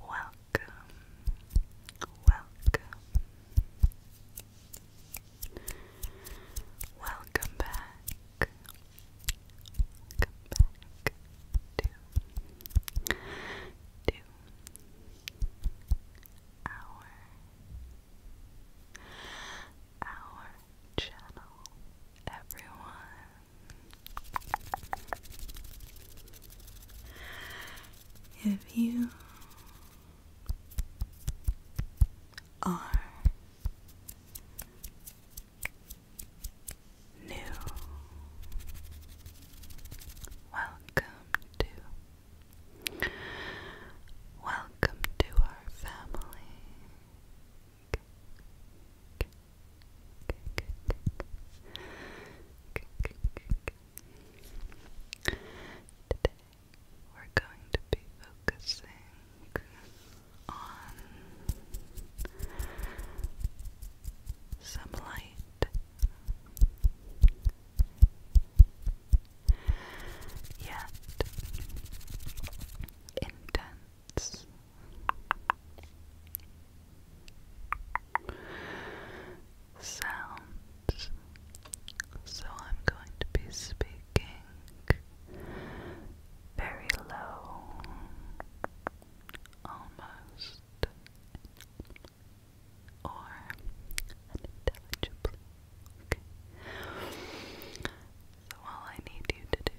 Welcome, welcome, welcome back, welcome back to, to our our channel everyone if you are new. Welcome to. Welcome to our family. Today we're going to be focusing on some light Yet intense. Sounds. So I'm going to be speaking very low, almost or unintelligibly. So all I need you to do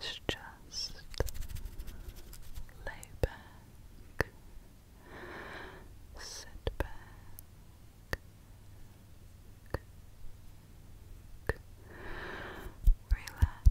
is just lay back, sit back, relax.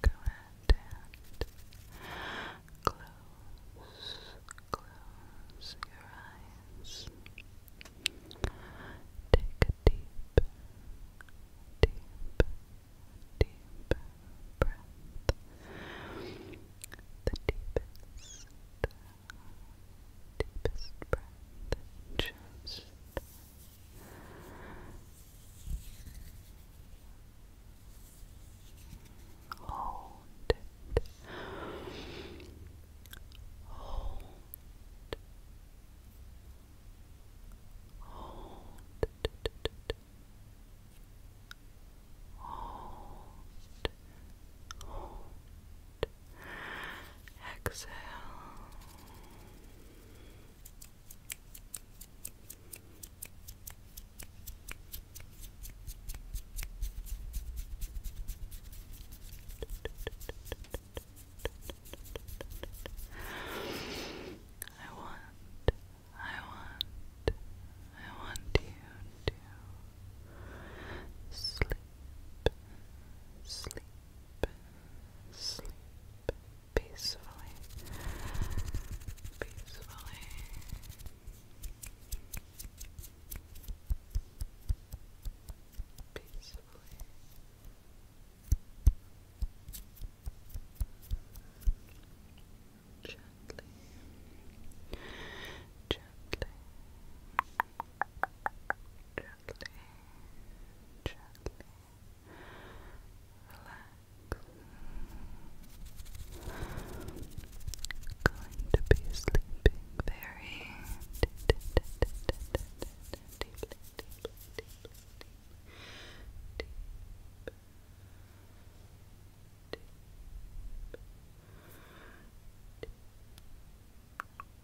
Go ahead and close, close your eyes. Take a deep, deep, deep breath. The deepest, deepest breath. Just Hold Hold. Hold. Hold. Hold. Exhale. I want, I want, I want you to sleep, sleep, sleep peacefully, peacefully. Peacefully. Gently. Gently gently, gently Going to be sleeping very deep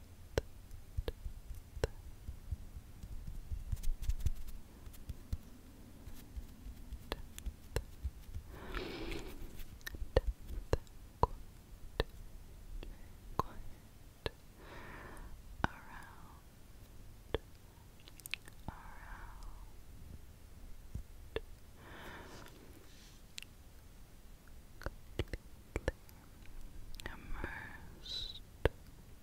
quiet around around completely immersed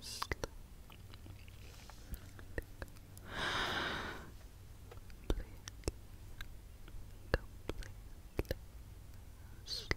sleep. Completely, slow,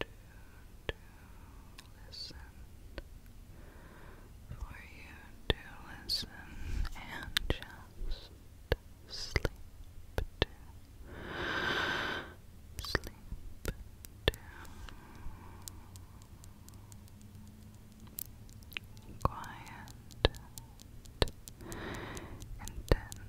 to, listen, for you to listen and just sleep sleep to. Quiet, intense, intense,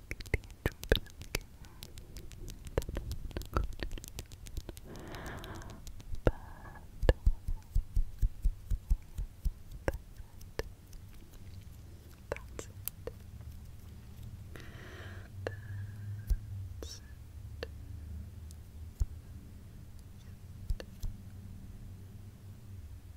That's it. That's it. That's it.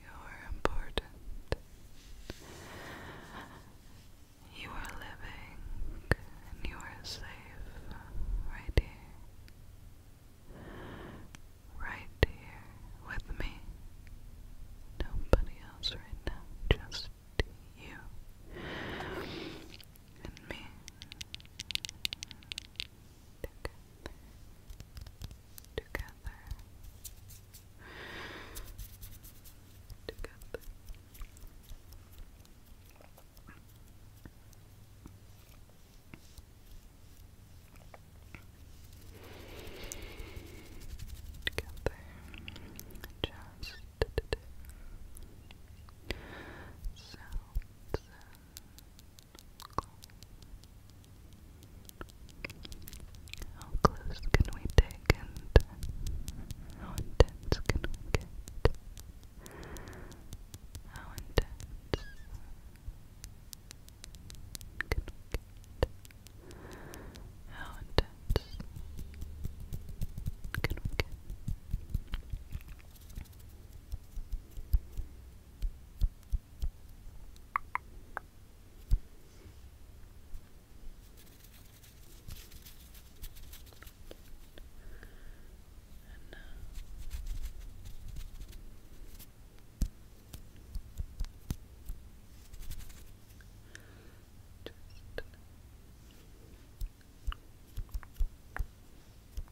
you're important. You are living and you are safe right here. Right here with me. Nobody else right now, just you and me together, together, together. just sounds how close can we take how intense can we get? How intense can we get? How intense can we get? And now uh, just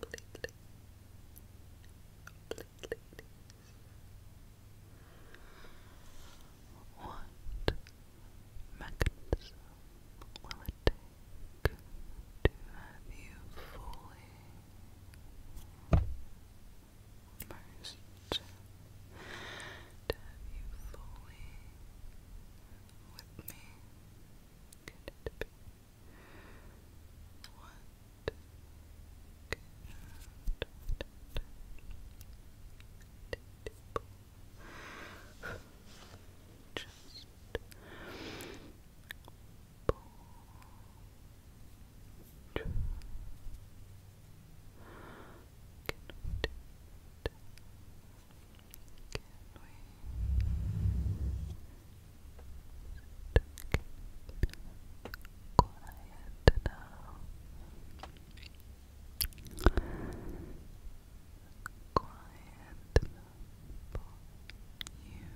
Platelets. What mechanism will it take to have you fully immersed? have you fully with me? could it be? What could it be? Just pull through. Connected quiet now. Quiet for you. Tipping. you hear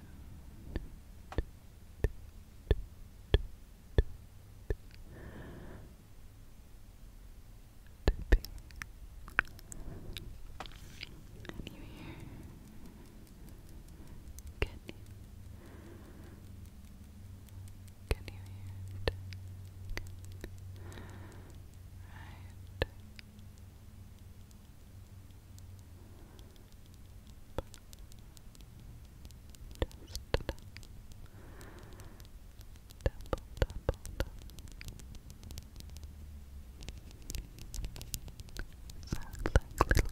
can you? Can you hear it? Right. Just double, double, double. Sounds like little droplets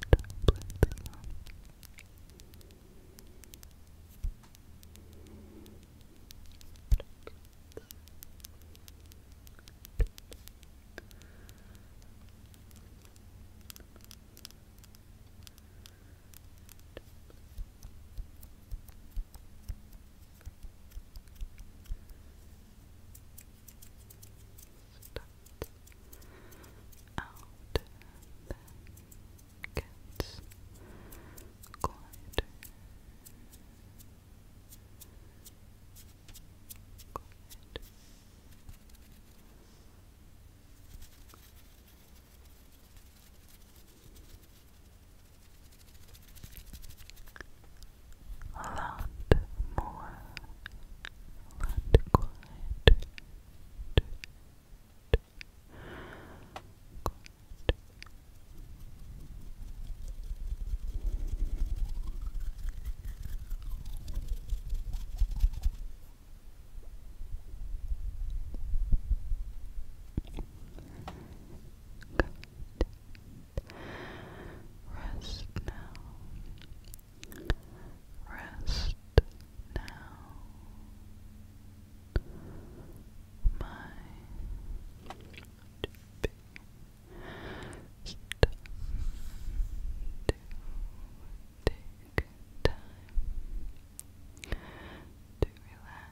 start out then gets quieter a lot more, a lot quieter. Rest now. Rest now. My best to take time to relax.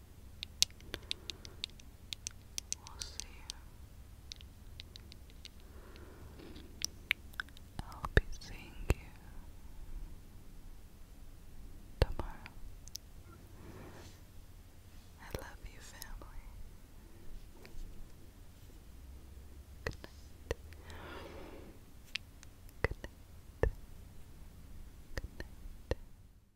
We'll see. I'll be seeing you tomorrow. I love you, family. Good night. Good night. Good night.